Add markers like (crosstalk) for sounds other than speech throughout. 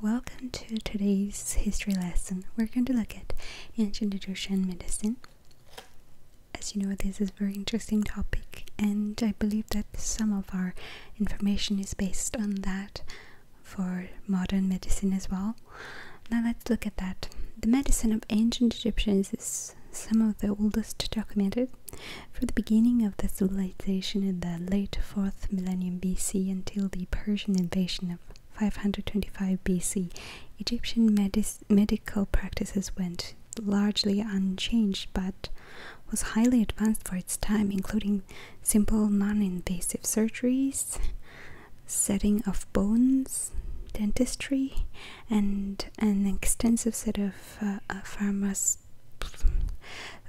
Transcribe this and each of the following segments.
Welcome to today's history lesson. We're going to look at ancient Egyptian medicine. As you know, this is a very interesting topic, and I believe that some of our information is based on that for modern medicine as well. Now, let's look at that. The medicine of ancient Egyptians is some of the oldest documented. From the beginning of the civilization in the late 4th millennium BC until the Persian invasion of 525 BC, Egyptian medical practices went largely unchanged but was highly advanced for its time, including simple non invasive surgeries, setting of bones, dentistry, and an extensive set of uh, uh, pharmacists.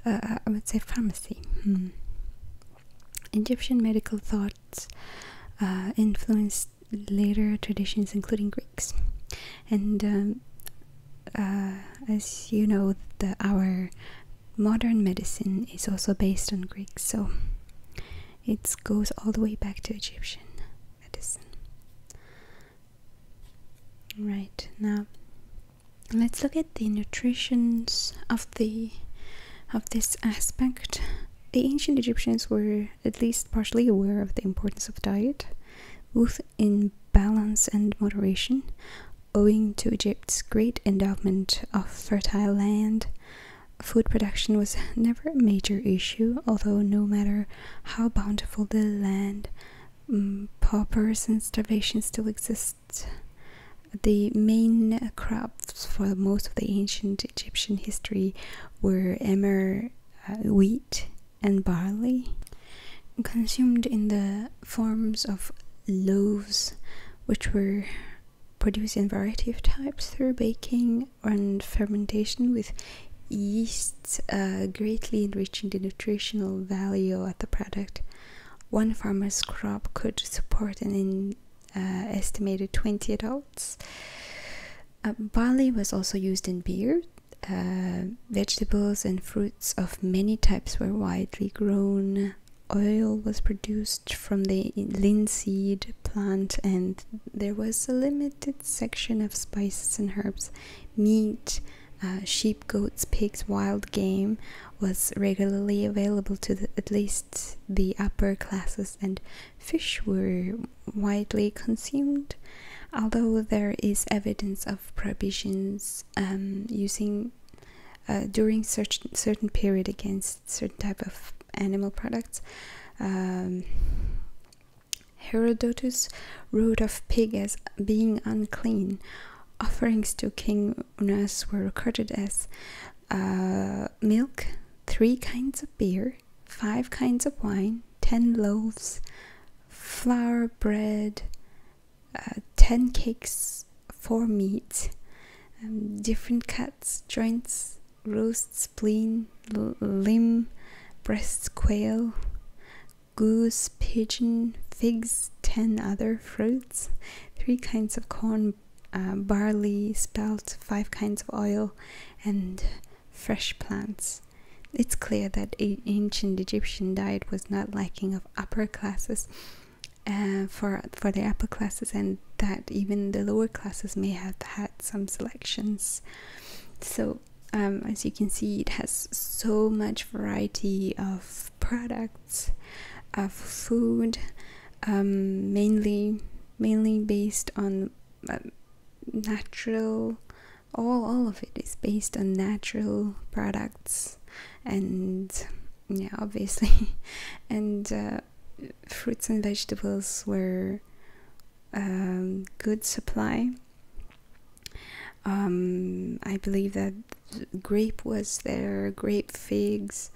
Uh, I would say pharmacy. Hmm. Egyptian medical thoughts uh, influenced later traditions, including Greeks. And um, uh, as you know, our modern medicine is also based on Greek, so it goes all the way back to Egyptian medicine. Right now, let's look at the nutritions of the of this aspect. The ancient Egyptians were at least partially aware of the importance of diet, both in balance and moderation, owing to Egypt's great endowment of fertile land. Food production was never a major issue, although no matter how bountiful the land, mm, paupers and starvation still existed the main crops for most of the ancient Egyptian history were emmer, uh, wheat, and barley, consumed in the forms of loaves, which were produced in a variety of types through baking and fermentation with yeasts, uh, greatly enriching the nutritional value of the product. One farmer's crop could support an uh, estimated 20 adults. Uh, barley was also used in beer. Uh, vegetables and fruits of many types were widely grown. Oil was produced from the linseed plant, and there was a limited section of spices and herbs. Meat, uh, sheep, goats, pigs, wild game was regularly available to at least the upper classes, and fish were widely consumed, although there is evidence of prohibitions um, using uh, during certain certain period against certain type of animal products. Um, Herodotus wrote of pig as being unclean, offerings to King Unas were recorded as uh, milk, three kinds of beer, five kinds of wine, ten loaves, flour, bread, uh, ten cakes, four meats, um, different cuts, joints, roast, spleen, limb, breast, quail, goose, pigeon, figs, ten other fruits three kinds of corn, uh, barley, spelt, five kinds of oil, and fresh plants. It's clear that ancient Egyptian diet was not lacking of upper classes uh, for for the upper classes, and that even the lower classes may have had some selections. So, um, as you can see, it has so much variety of products of food, um, mainly mainly based on um, natural. All all of it is based on natural products, and yeah, obviously, (laughs) and uh, fruits and vegetables were um, good supply. I believe that grape was there, grape figs,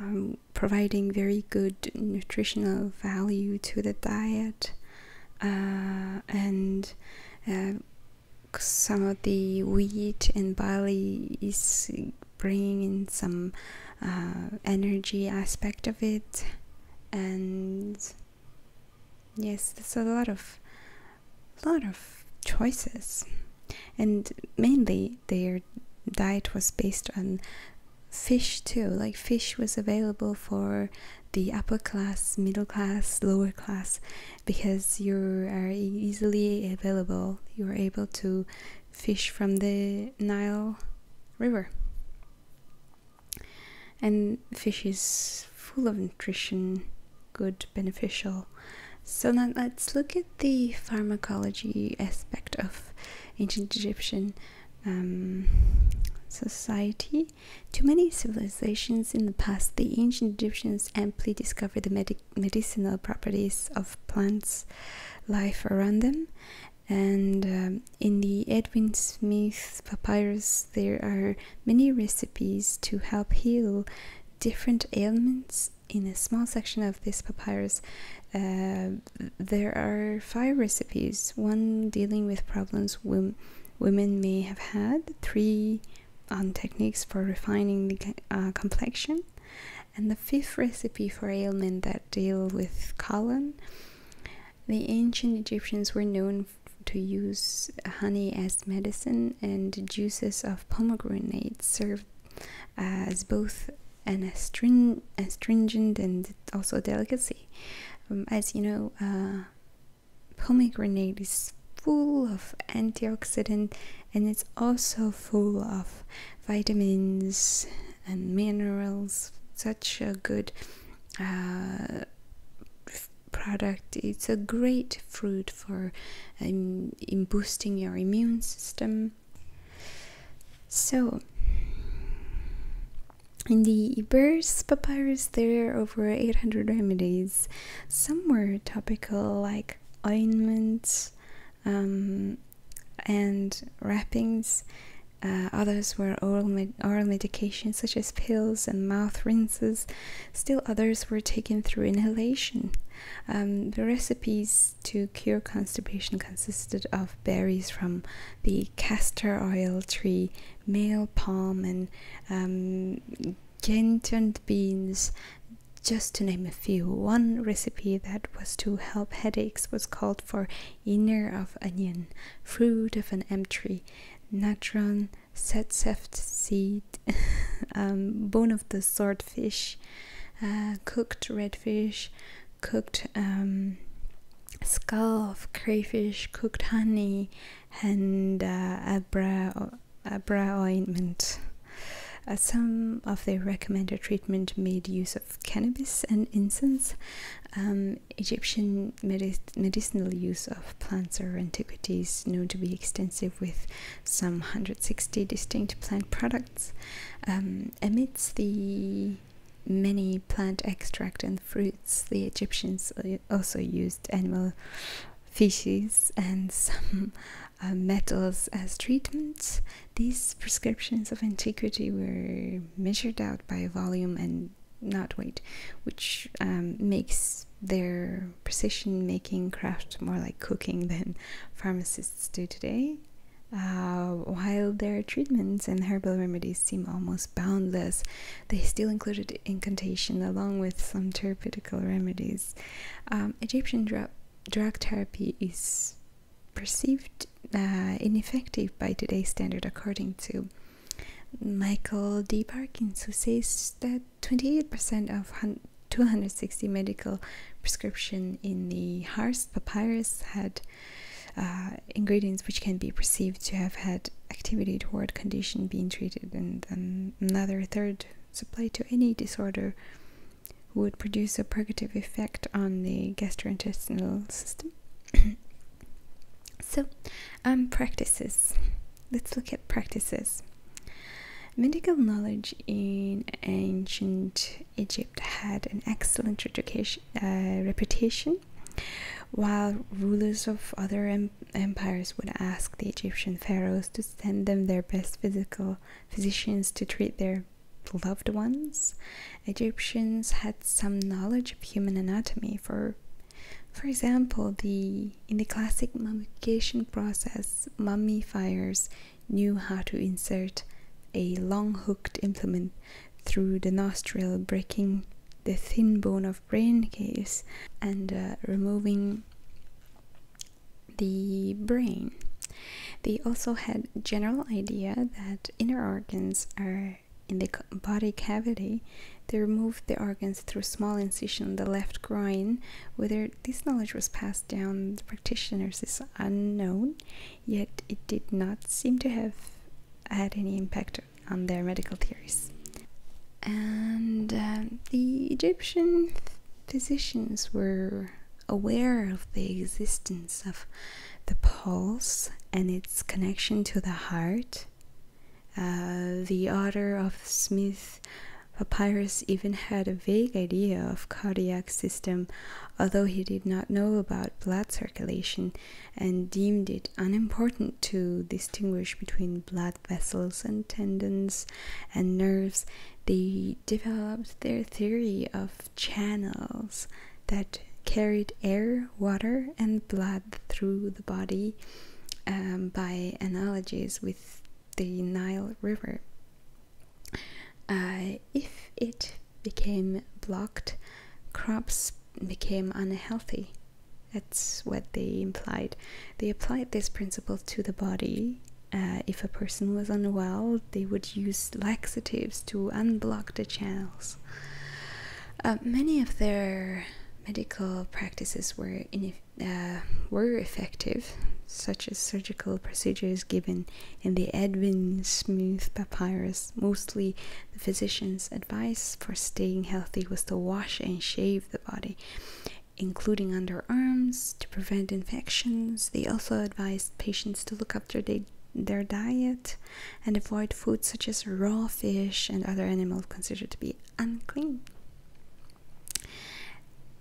um, providing very good nutritional value to the diet, uh, and uh, some of the wheat and barley is bringing in some uh, energy aspect of it, and yes, there's a lot of lot of choices and mainly their diet was based on fish too like fish was available for the upper class middle class lower class because you are easily available you're able to fish from the nile river and fish is full of nutrition good beneficial so now let's look at the pharmacology aspect of ancient Egyptian um, society, to many civilizations in the past, the ancient Egyptians amply discovered the medicinal properties of plants, life around them. And um, in the Edwin Smith papyrus, there are many recipes to help heal different ailments in a small section of this papyrus, uh, there are five recipes one dealing with problems women may have had, three on techniques for refining the uh, complexion, and the fifth recipe for ailments that deal with colon. The ancient Egyptians were known to use honey as medicine, and juices of pomegranate served. Uh, as both an astringent and also a delicacy. Um, as you know, uh, pomegranate is full of antioxidant and it's also full of vitamins and minerals. Such a good uh, product. It's a great fruit for um, in boosting your immune system so, in the Ebers papyrus, there are over 800 remedies. Some were topical, like ointments um, and wrappings. Uh, others were oral, medications such as pills and mouth rinses. Still, others were taken through inhalation. Um, the recipes to cure constipation consisted of berries from the castor oil tree, male palm, and um, beans, just to name a few. One recipe that was to help headaches was called for inner of onion, fruit of an em tree, natron, setseft seed, (laughs) um, bone of the swordfish, uh, cooked redfish, cooked um, skull of crayfish, cooked honey, and uh, abra, abra ointment. Uh, some of the recommended treatment made use of cannabis and incense. Um, Egyptian medicinal use of plants or antiquities known to be extensive with some 160 distinct plant products um, amidst the many plant extract and fruits the egyptians also used animal fishes, and some uh, metals as treatments these prescriptions of antiquity were measured out by volume and not weight which um, makes their precision making craft more like cooking than pharmacists do today uh, while their treatments and herbal remedies seem almost boundless, they still included incantation along with some therapeutic remedies. Um, Egyptian drug, therapy is perceived uh, ineffective by today's standard, according to Michael D. Parkins, who says that 28% of 260 medical prescription in the Harz papyrus had uh, ingredients which can be perceived to have had activity toward condition being treated and another third supplied to any disorder would produce a purgative effect on the gastrointestinal system. (coughs) so, um, practices. Let's look at practices. Medical knowledge in ancient Egypt had an excellent reputation, uh, while rulers of other empires would ask the Egyptian pharaohs to send them their best physical physicians to treat their loved ones. Egyptians had some knowledge of human anatomy for for example, the in the classic mummification process, mummifiers knew how to insert a long hooked implement through the nostril, breaking the thin bone of brain case and uh, removing the brain. They also had general idea that inner organs are in the body cavity. They removed the organs through small incision in the left groin. Whether this knowledge was passed down practitioners is unknown, yet it did not seem to have had any impact on their medical theories. And um, the Egyptian physicians were aware of the existence of the pulse and its connection to the heart. Uh, the author of Smith Papyrus even had a vague idea of cardiac system although he did not know about blood circulation and deemed it unimportant to distinguish between blood vessels and tendons and nerves, they developed their theory of channels that carried air, water, and blood through the body um, by analogies with the Nile River. Uh, if it became blocked, crops became unhealthy. That's what they implied. They applied this principle to the body. Uh, if a person was unwell, they would use laxatives to unblock the channels. Uh, many of their medical practices were, were effective, such as surgical procedures given in the Edwin Smooth Papyrus, mostly the physician's advice for staying healthy was to wash and shave the body, including underarms, to prevent infections. They also advised patients to look after their their diet and avoid foods such as raw fish and other animals considered to be unclean.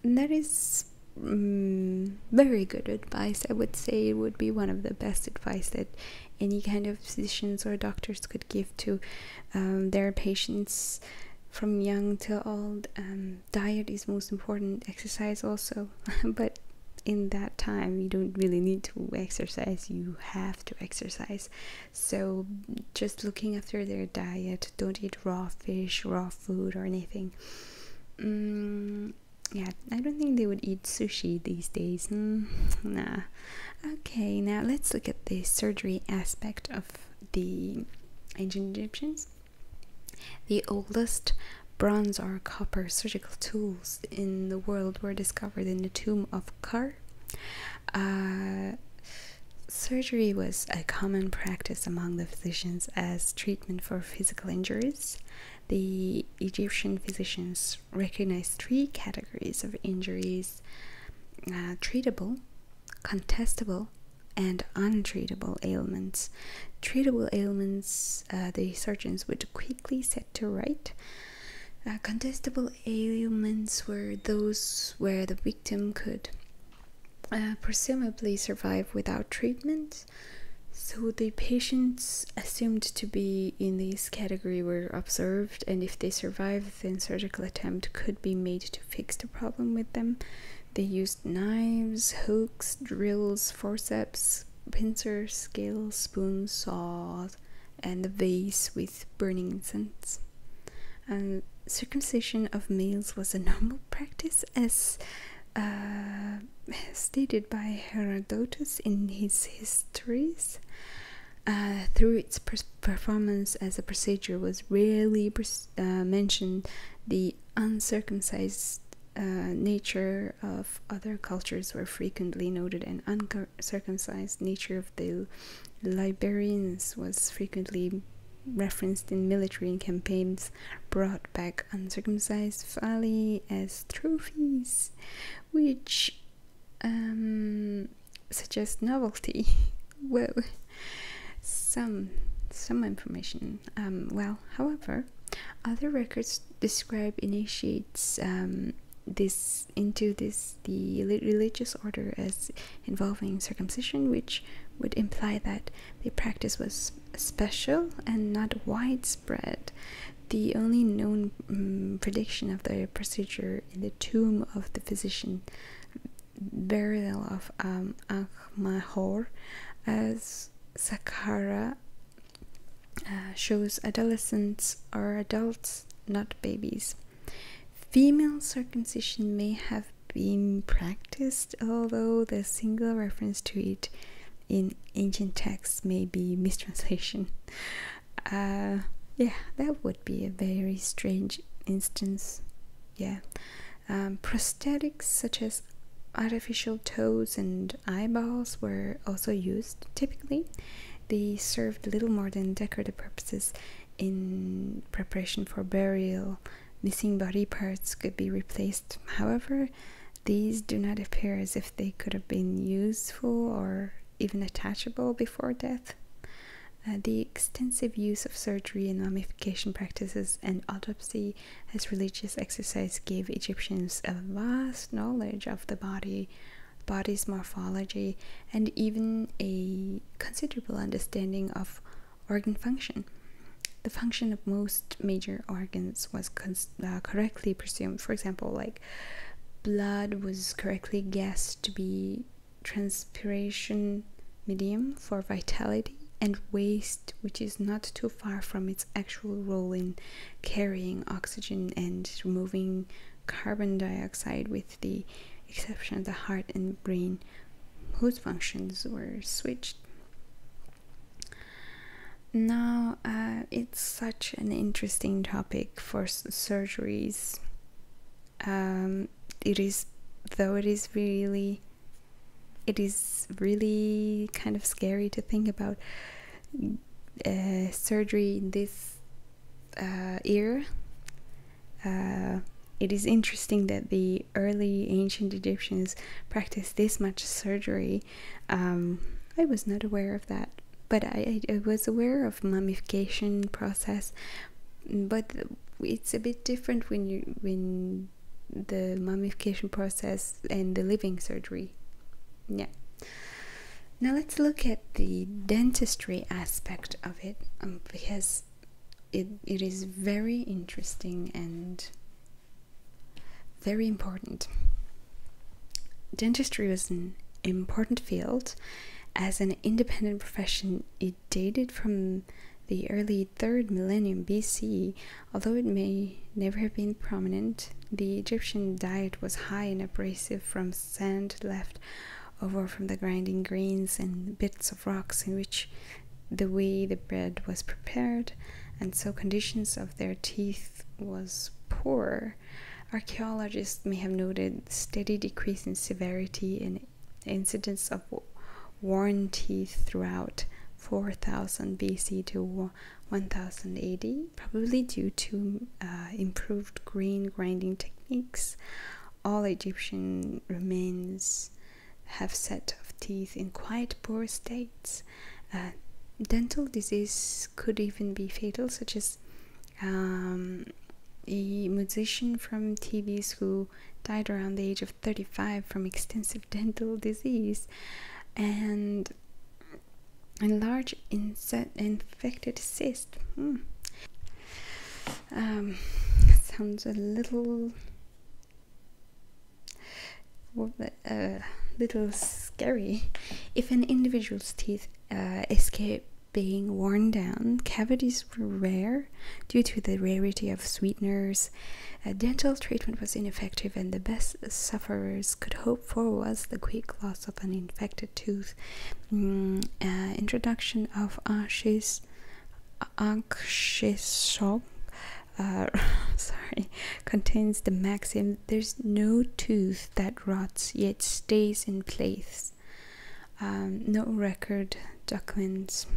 There is. Mm, very good advice. I would say it would be one of the best advice that any kind of physicians or doctors could give to um, their patients from young till old. Um, diet is most important, exercise also, (laughs) but in that time you don't really need to exercise you have to exercise so just looking after their diet don't eat raw fish raw food or anything mm, yeah, I don't think they would eat sushi these days. Hmm, nah. Okay, now let's look at the surgery aspect of the ancient Egyptians. The oldest bronze or copper surgical tools in the world were discovered in the tomb of Kar. Uh, surgery was a common practice among the physicians as treatment for physical injuries the Egyptian physicians recognized three categories of injuries uh, treatable, contestable, and untreatable ailments. Treatable ailments uh, the surgeons would quickly set to right. Uh, contestable ailments were those where the victim could presumably survive without treatment so the patients assumed to be in this category were observed, and if they survived, then surgical attempt could be made to fix the problem with them. They used knives, hooks, drills, forceps, pincers, scales, spoons, saws, and a vase with burning incense. And circumcision of males was a normal (laughs) practice as uh, stated by Herodotus in his histories. Uh, through its performance as a procedure, was rarely uh, mentioned the uncircumcised uh, nature of other cultures were frequently noted, and uncircumcised nature of the Liberians was frequently referenced in military campaigns. Brought back uncircumcised Fali as trophies, which um, suggest novelty. (laughs) well, some some information. Um, well, however, other records describe initiates um, this into this the religious order as involving circumcision, which would imply that the practice was special and not widespread the only known mm, prediction of the procedure in the tomb of the physician burial of um, as Saqqara uh, shows adolescents or adults, not babies. Female circumcision may have been practiced, although the single reference to it in ancient texts may be mistranslation. (laughs) Uh, yeah, that would be a very strange instance. Yeah, um, prosthetics such as artificial toes and eyeballs were also used. Typically, they served little more than decorative purposes in preparation for burial. Missing body parts could be replaced. However, these do not appear as if they could have been useful or even attachable before death. Uh, the extensive use of surgery and mummification practices and autopsy as religious exercise gave Egyptians a vast knowledge of the body, body's morphology, and even a considerable understanding of organ function. The function of most major organs was con uh, correctly presumed. For example, like blood was correctly guessed to be transpiration medium for vitality and waste which is not too far from its actual role in carrying oxygen and removing carbon dioxide with the exception of the heart and brain whose functions were switched now, uh, it's such an interesting topic for surgeries. Um, it is, though, it is really, it is really kind of scary to think about uh, surgery in this uh, era. Uh, it is interesting that the early ancient Egyptians practiced this much surgery um, I was not aware of that, but I, was aware of mummification process, but it's a bit different when you when the mummification process and the living surgery. Yeah. Now let's look at the dentistry aspect of it um, because it, it is very interesting and very important. Dentistry was an important field. As an independent profession, it dated from the early 3rd millennium BC. Although it may never have been prominent, the Egyptian diet was high in abrasive from sand left over from the grinding grains and bits of rocks in which the way the bread was prepared and so conditions of their teeth was poor. Archaeologists may have noted steady decrease in severity in incidence of worn teeth throughout 4000 BC to 1000 AD, probably due to uh, improved grain grinding techniques. All Egyptian remains have set of teeth in quite poor states. Uh, dental disease could even be fatal, such as um, a musician from TVs who died around the age of 35 from extensive (laughs) dental disease, and enlarged, infected cyst. Hmm. Um, sounds a little a, little scary. If an individual's teeth uh, escape being worn down, cavities were rare due to the rarity of sweeteners. dental treatment was ineffective, and the best sufferers could hope for was the quick loss of an infected tooth. Mm, uh, introduction of ashes, anxious shock. Uh, (laughs) sorry, contains the maxim there's no tooth that rots yet stays in place. Um, no record documents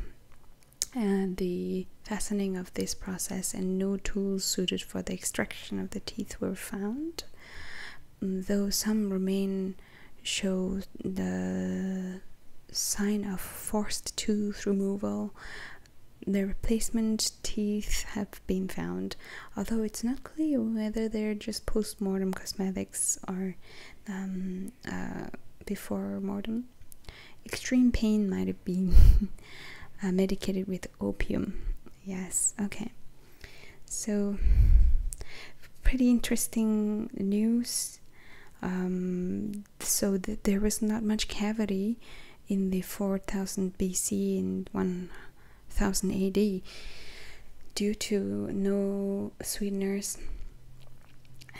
and the fastening of this process and no tools suited for the extraction of the teeth were found mm, though some remain show the sign of forced tooth removal their replacement teeth have been found, although it's not clear whether they're just post mortem cosmetics or um, uh, before mortem. Extreme pain might have been (laughs) uh, medicated with opium. Yes, okay. So, pretty interesting news. Um, so, there was not much cavity in the 4000 BC and 1000 AD due to no sweeteners,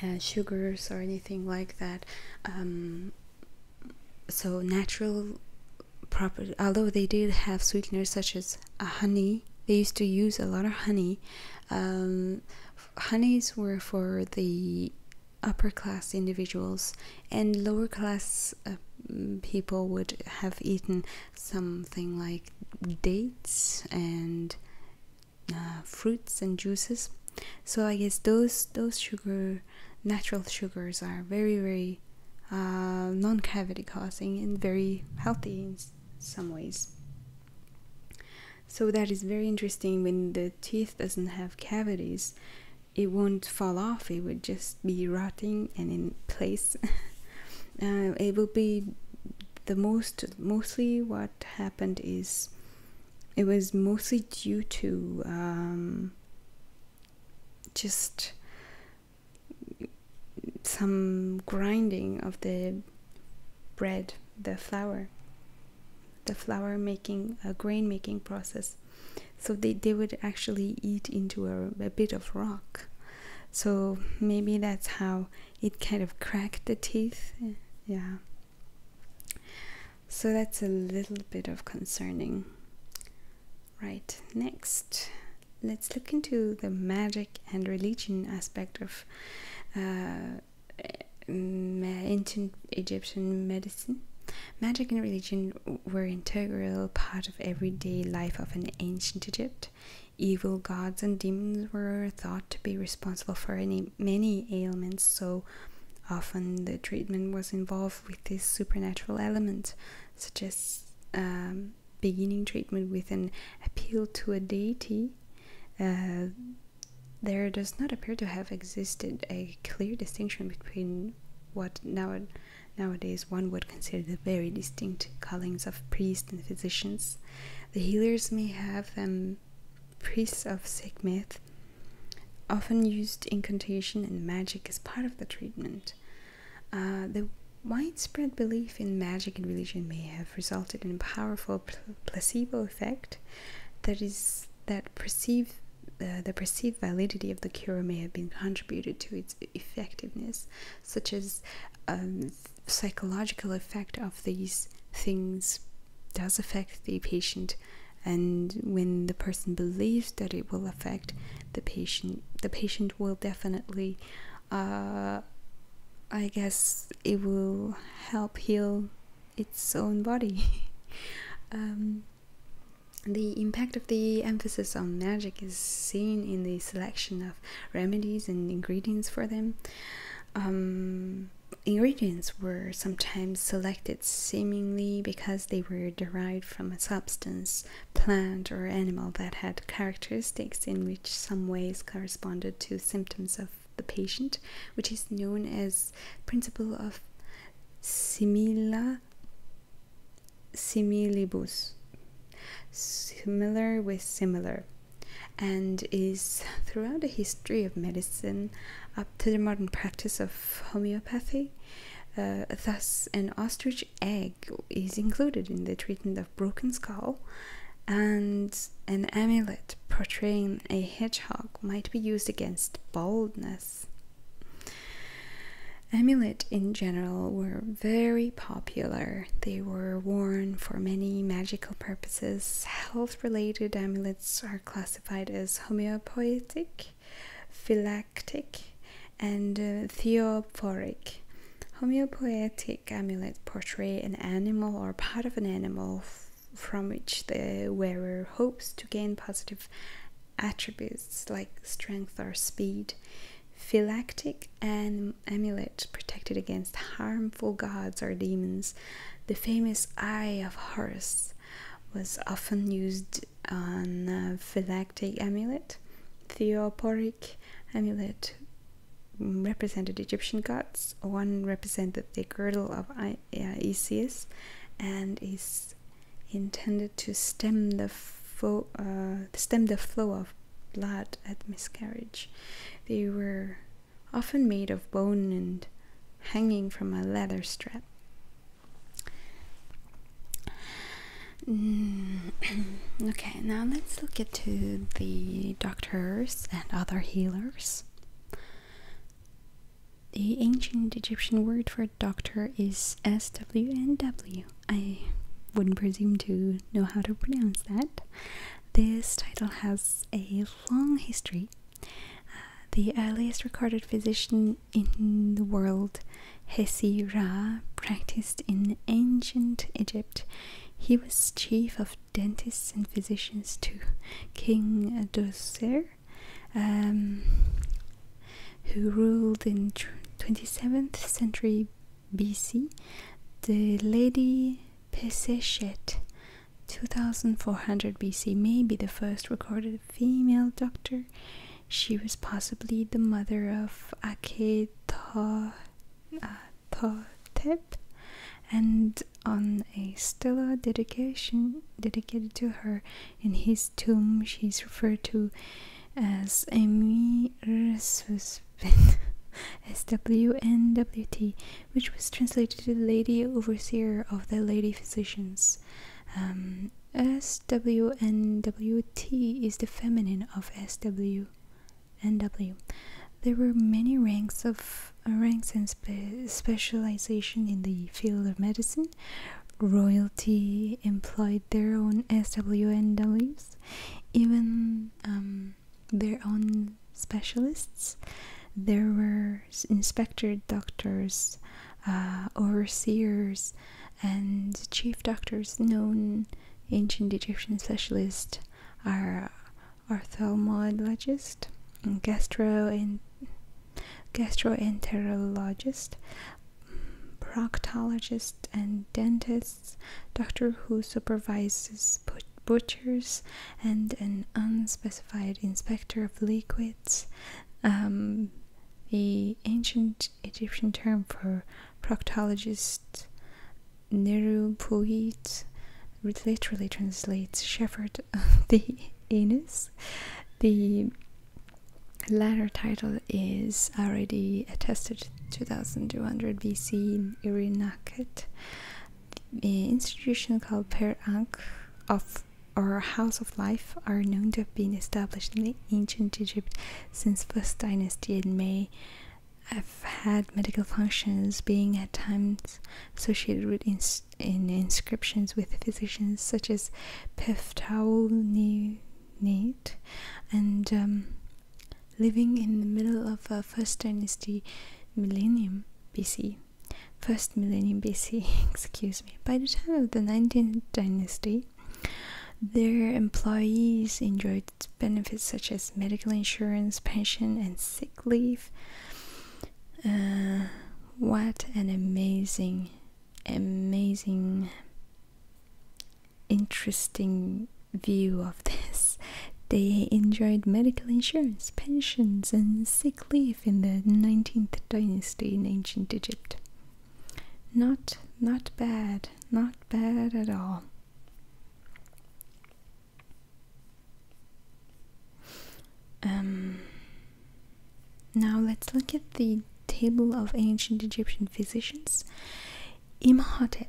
uh, sugars, or anything like that. Um, so, natural property, although they did have sweeteners such as honey, they used to use a lot of honey. Um, honeys were for the upper class individuals and lower class uh, people would have eaten something like dates and uh, fruits and juices so i guess those those sugar natural sugars are very very uh, non cavity causing and very healthy in some ways so that is very interesting when the teeth doesn't have cavities it won't fall off it would just be rotting and in place (laughs) uh, it will be the most mostly what happened is it was mostly due to um, just some grinding of the bread the flour the flour making a uh, grain making process so they, they would actually eat into a, a bit of rock so maybe that's how it kind of cracked the teeth yeah so that's a little bit of concerning right next let's look into the magic and religion aspect of uh, eh, ancient egyptian medicine magic and religion were integral part everyday life of an ancient Egypt. Evil gods and demons were thought to be responsible for any many ailments, so often the treatment was involved with this supernatural element, such as um, beginning treatment with an appeal to a deity. Uh, there does not appear to have existed a clear distinction between what now Nowadays, one would consider the very distinct callings of priests and physicians. The healers may have them priests of sick myth. often used incantation and magic as part of the treatment. Uh, the widespread belief in magic and religion may have resulted in a powerful placebo effect that is that perceived uh, the perceived validity of the cure may have been contributed to its effectiveness, such as um, psychological effect of these things does affect the patient and when the person believes that it will affect the patient the patient will definitely uh, i guess it will help heal its own body (laughs) um, the impact of the emphasis on magic is seen in the selection of remedies and ingredients for them. Um, ingredients were sometimes selected seemingly because they were derived from a substance, plant, or animal that had characteristics in which some ways corresponded to symptoms of the patient, which is known as principle of simila similibus, similar with similar, and is throughout the history of medicine up to the modern practice of homeopathy. Uh, thus, an ostrich egg is included in the treatment of broken skull, and an amulet portraying a hedgehog might be used against baldness Amulets in general were very popular. They were worn for many magical purposes. Health related amulets are classified as homeopathic, phylactic, and uh, theophoric. Homeopoetic amulets portray an animal or part of an animal from which the wearer hopes to gain positive attributes like strength or speed. Phylactic and amulet protected against harmful gods or demons. The famous Eye of Horus was often used on uh, phylactic amulet. Theoporic amulet represented Egyptian gods. One represented the girdle of uh, Isis and is intended to stem the, uh, stem the flow of blood at miscarriage. They were often made of bone and hanging from a leather strap. Mm, (clears throat) okay, now let's look into the doctors and other healers. The ancient Egyptian word for doctor is SWNW. I wouldn't presume to know how to pronounce that. This title has a long history. Uh, the earliest recorded physician in the world, Hesi Ra, practiced in ancient Egypt. He was chief of dentists and physicians to King Dosir. Um, who ruled in 27th century BC, the Lady Pesseshet 2400 BC may be the first recorded female doctor. She was possibly the mother of Akhetathotep and on a stela dedication dedicated to her in his tomb she is referred to as Amy Resusvin SWNWT, which was translated to Lady Overseer of the Lady Physicians. Um, SWNWT is the feminine of SWNW. There were many ranks of ranks and specialization in the field of medicine, royalty employed their own S W N SWNWs, even um, their own specialists. There were inspector doctors, uh, overseers, and chief doctors. Known ancient Egyptian specialists are uh, ophthalmologist, gastro and gastroenterologist, proctologists and dentists, doctor who supervises butchers, and an unspecified inspector of liquids. Um, the ancient Egyptian term for proctologist, nerupuit, literally translates shepherd of the anus. The latter title is already attested 2200 BC in Irinakhet, the institution called Per Ankh of or House of Life are known to have been established in ancient Egypt since first dynasty and may have had medical functions, being at times associated with in inscriptions with physicians such as Peftaul neat and um, living in the middle of a uh, first dynasty millennium BC first millennium BC (laughs) excuse me by the time of the 19th dynasty their employees enjoyed benefits such as medical insurance pension and sick leave uh, what an amazing amazing interesting view of this. (laughs) They enjoyed medical insurance, pensions, and sick leave in the 19th dynasty in ancient Egypt. Not, not bad, not bad at all. Um, now let's look at the table of ancient Egyptian physicians. Imhotep.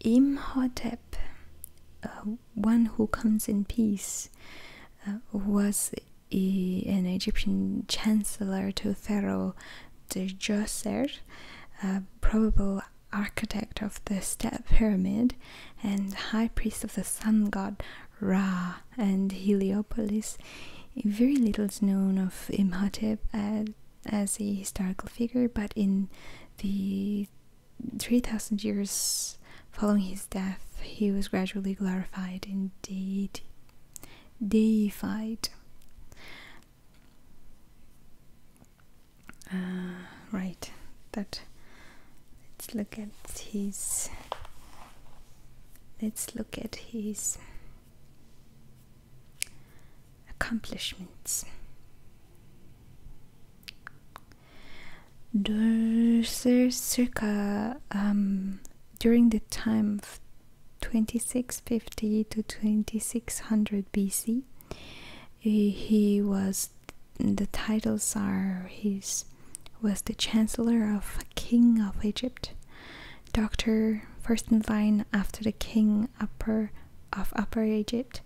Imhotep, uh, one who comes in peace, uh, was an Egyptian chancellor to Pharaoh Djoser, probable architect of the Step Pyramid and high priest of the sun god Ra and Heliopolis. Very little is known of Imhotep as, a historical figure, but in the 3000 years following his death, he was gradually glorified indeed, deified. Uh, right, that let's look at his let's look at his accomplishments circa um, during the time of 2650 to 2600 BC he was the titles are his was the chancellor of king of Egypt doctor first after the king upper of upper egypt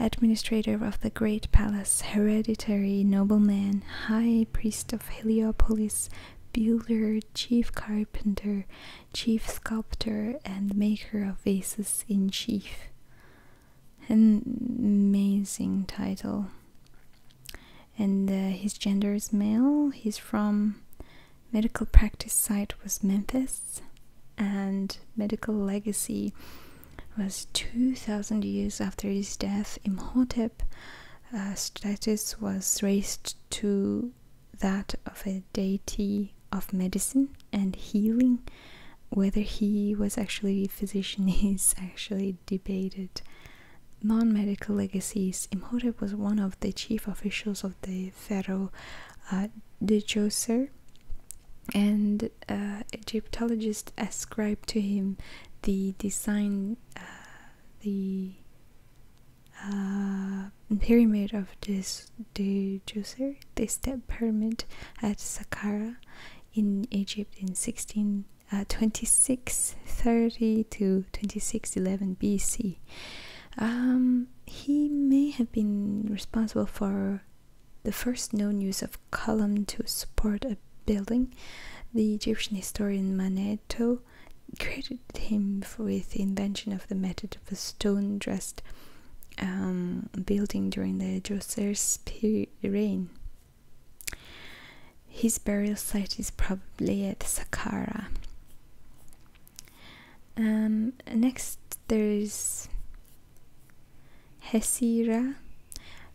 administrator of the great palace hereditary nobleman high priest of heliopolis builder chief carpenter chief sculptor and maker of vases in chief an amazing title and uh, his gender is male. He's from medical practice site was Memphis, and medical legacy was 2,000 years after his death. Imhotep uh, status was raised to that of a deity of medicine and healing. Whether he was actually a physician (laughs) is actually debated non-medical legacies, Imhotep was one of the chief officials of the pharaoh uh, Djoser, and uh, Egyptologists ascribe to him the design, uh, the uh, pyramid of this Djoser, the step pyramid at Saqqara in Egypt in 16. Uh, to 2611 BC. Um, he may have been responsible for the first known use of column to support a building. The Egyptian historian Manetho credited him with the invention of the method of a stone-dressed um, building during the Djoser's reign. His burial site is probably at Saqqara. Um, next, there's Hesira,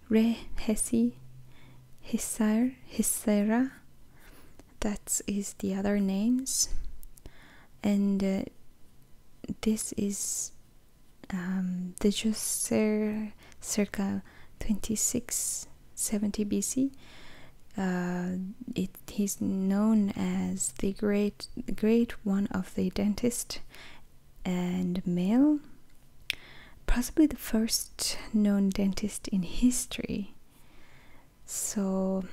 Re Hesi, Hisar, Hisera. That is the other names, and uh, this is um, the Jusser circa 26 70 BC. Uh, it is known as the great, great one of the dentist and male, possibly the first known dentist in history. So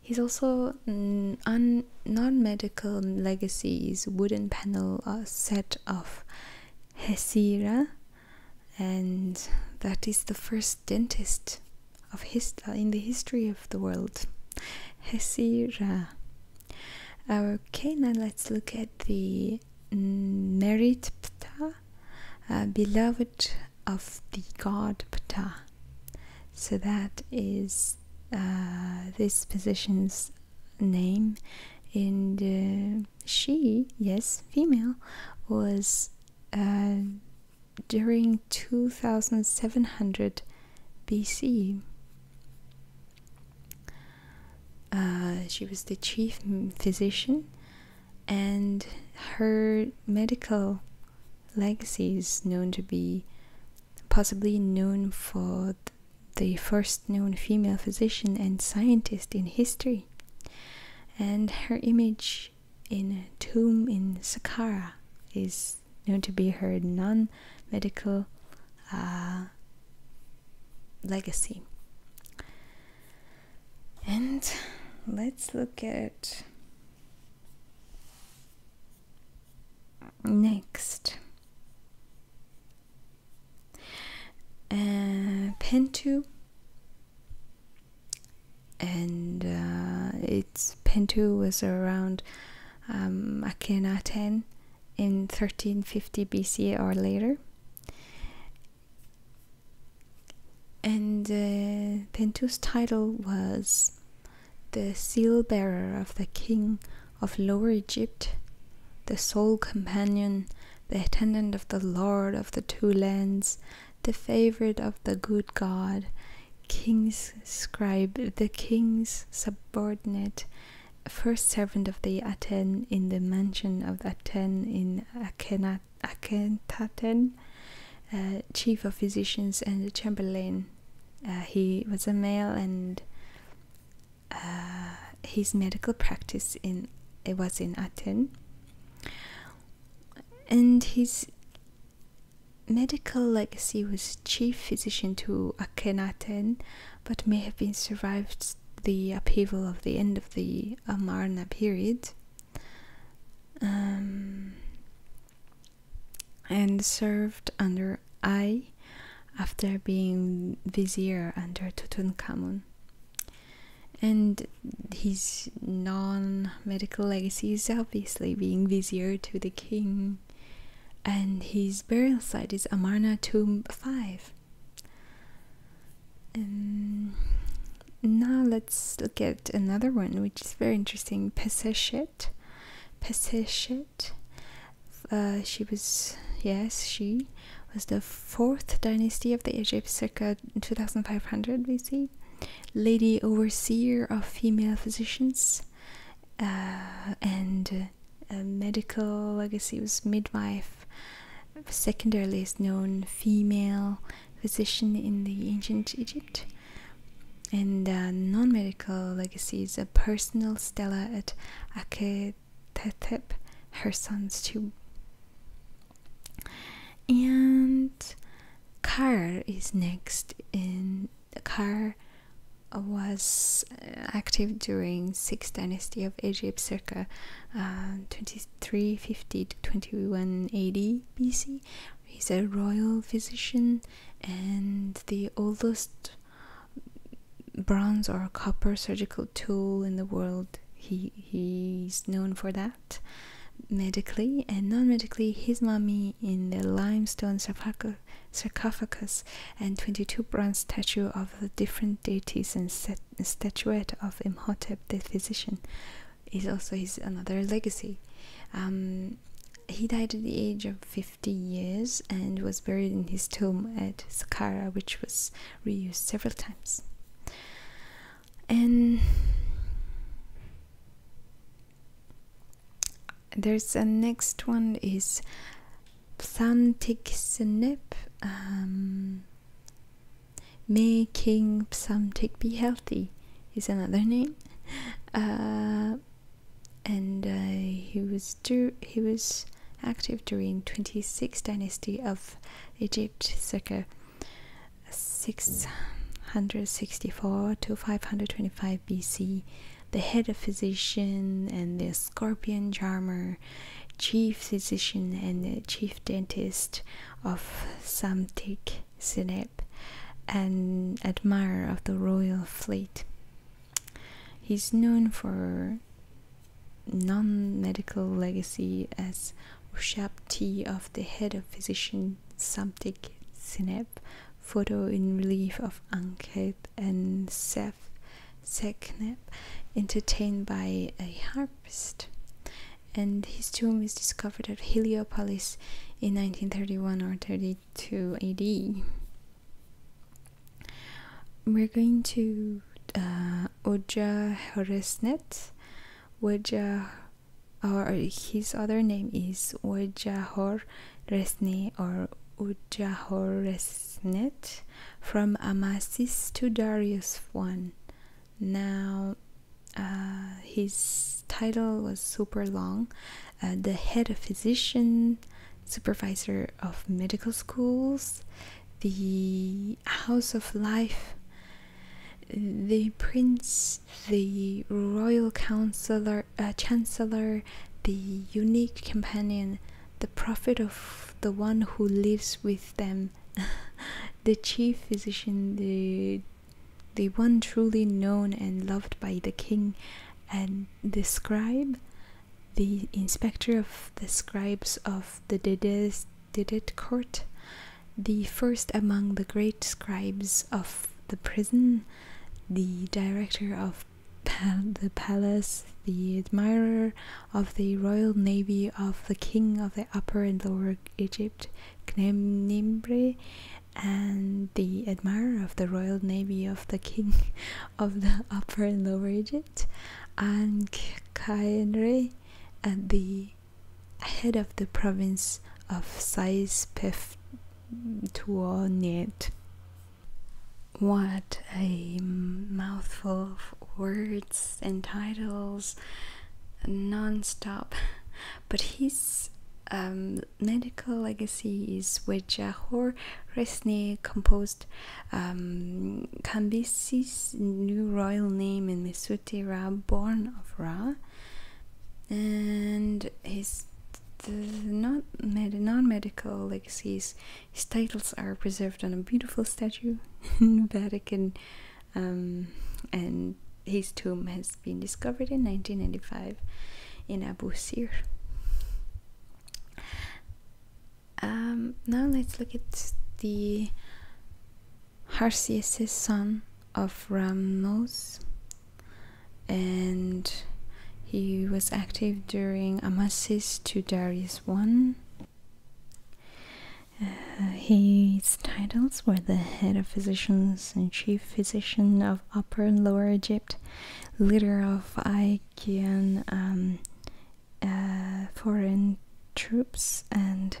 he's also un non-medical legacies: wooden panel uh, set of Hesira and that is the first dentist of his uh, in the history of the world, Hesira. Okay, now let's look at the merit Ptah, uh, beloved of the god Ptah. So that is uh, this position's name, and she, yes, female, was uh, during 2700 BC. Uh, she was the chief physician, and her medical legacy is known to be possibly known for the first known female physician and scientist in history. And her image in a tomb in Saqqara is known to be her non-medical uh, legacy. And let's look at next uh, Pentu and uh, its Pentu was around um, Akhenaten in 1350 BC or later. And uh, Pentu's title was the seal bearer of the king of Lower Egypt, the sole companion, the attendant of the lord of the two lands, the favorite of the good god, king's scribe, the king's subordinate, first servant of the Aten in the mansion of Aten in Akhenat, uh, chief of physicians and chamberlain. Uh, he was a male and uh, his medical practice in it was in Aten and his medical legacy was chief physician to Akhenaten, but may have been survived the upheaval of the end of the Amarna period. Um, and served under I after being vizier under Tutankhamun. And his non medical legacy is obviously being vizier to the king, and his burial site is Amarna Tomb 5. Um, now let's look at another one which is very interesting Peseshet. Peseshet. Uh, she was, yes, she was the fourth dynasty of the Egypt circa 2500 BC lady overseer of female physicians uh, and uh, medical i guess it was midwife secondarily is known female physician in the ancient egypt and uh, non-medical legacy is a personal stela at Akhetetep, her son's tomb and car is next in the car was uh, active during sixth dynasty of egypt circa uh, 2350 to 2180 bc he's a royal physician and the oldest bronze or copper surgical tool in the world he he's known for that medically and non-medically his mummy in the limestone sarcophagus and 22 bronze statue of the different deities and statuette of imhotep the physician is also his another legacy um, he died at the age of 50 years and was buried in his tomb at saqqara which was reused several times and there's a next one is psalmtic um Making psalmtic be healthy is another name, (laughs) uh, and uh, he was he was active during 26th dynasty of Egypt, circa 664 to 525 BC, the head physician and the scorpion charmer, chief physician and chief dentist of Samtik Sinep, an admirer of the royal fleet. He's known for non medical legacy as Ushapti of the head physician and Samtik Sineb, photo in relief of Ankit and Sef Sekneb, entertained by a harpist. And his tomb is discovered at Heliopolis in 1931 or 32 AD. We're going to uh, Oja Horesnet. Oja or his other name is Wajahor Resni or Ujahor Resnet from Amasis to Darius I. Now, uh, his title was super long uh, the head of physician, supervisor of medical schools, the house of life, the prince the royal counselor, uh, chancellor, the unique companion, the prophet of the one who lives with them, (laughs) the chief physician, the the one truly known and loved by the king, and the scribe, the inspector of the scribes of the Didet court, the first among the great scribes of the prison, the director of the palace, the admirer of the royal navy of the king of the upper and lower Egypt, Khnemibre, and the admirer of the royal navy of the king (laughs) of the upper and lower Egypt, and Khaenre, and the head of the province of Sais Saispeftuonet. What a mouthful of words and titles non-stop but his um, medical legacy is where Jahor uh, Resni composed um, Cambyses' new royal name in Mesutera, born of Ra, and his not med non-medical legacies his titles are preserved on a beautiful statue (laughs) in Vatican um, and his tomb has been discovered in 1995 in Abu Sir um, now let's look at the Harsias' son of Ramnos, and he was active during Amasis to Darius I. Uh, his titles were the head of physicians and chief physician of Upper and Lower Egypt, leader of Achaean um, uh, foreign troops, and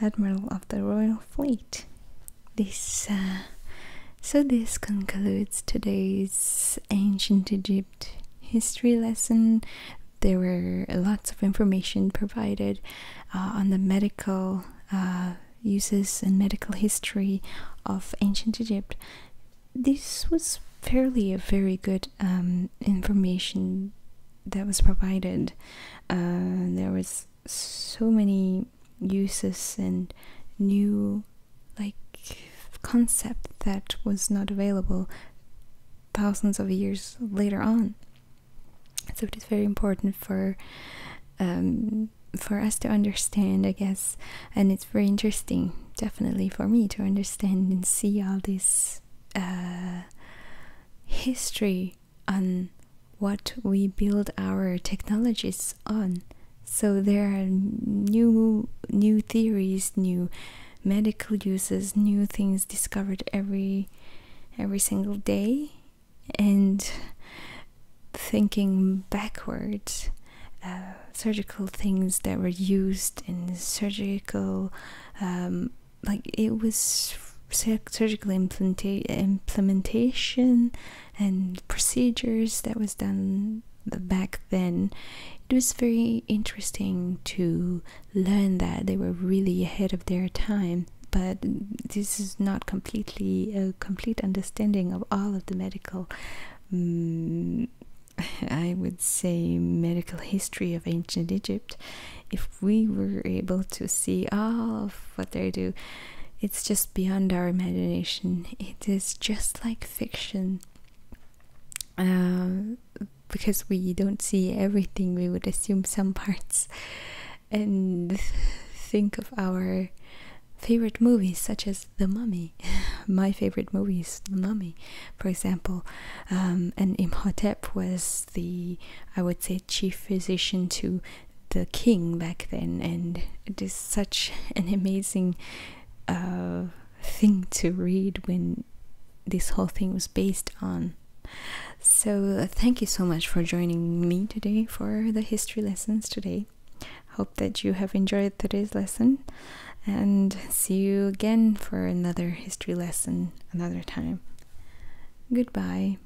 admiral of the royal fleet this uh, so this concludes today's ancient egypt history lesson there were lots of information provided uh, on the medical uh, uses and medical history of ancient egypt this was fairly a very good um, information that was provided there was so many uses and new like concept that was not available thousands of years later on. So it is very important for um, for us to understand, I guess, and it's very interesting, definitely for me to understand and see all this uh, history on what we build our technologies on. So there are new new theories, new medical uses, new things discovered every every single day and thinking backwards uh, surgical things that were used in surgical um, like it was surgical implementa implementation and procedures that was done back then it was very interesting to learn that they were really ahead of their time but this is not completely a complete understanding of all of the medical mm, (laughs) i would say medical history of ancient egypt if we were able to see all of what they do it's just beyond our imagination. It is just like fiction. Uh, because we don't see everything, we would assume some parts and think of our favorite movies, such as The Mummy. (laughs) My favorite movie is The Mummy, for example. Um, and Imhotep was the, I would say, chief physician to the king back then, and it is such an amazing uh, thing to read when this whole thing was based on. So, uh, thank you so much for joining me today for the history lessons today. Hope that you have enjoyed today's lesson and see you again for another history lesson another time. Goodbye.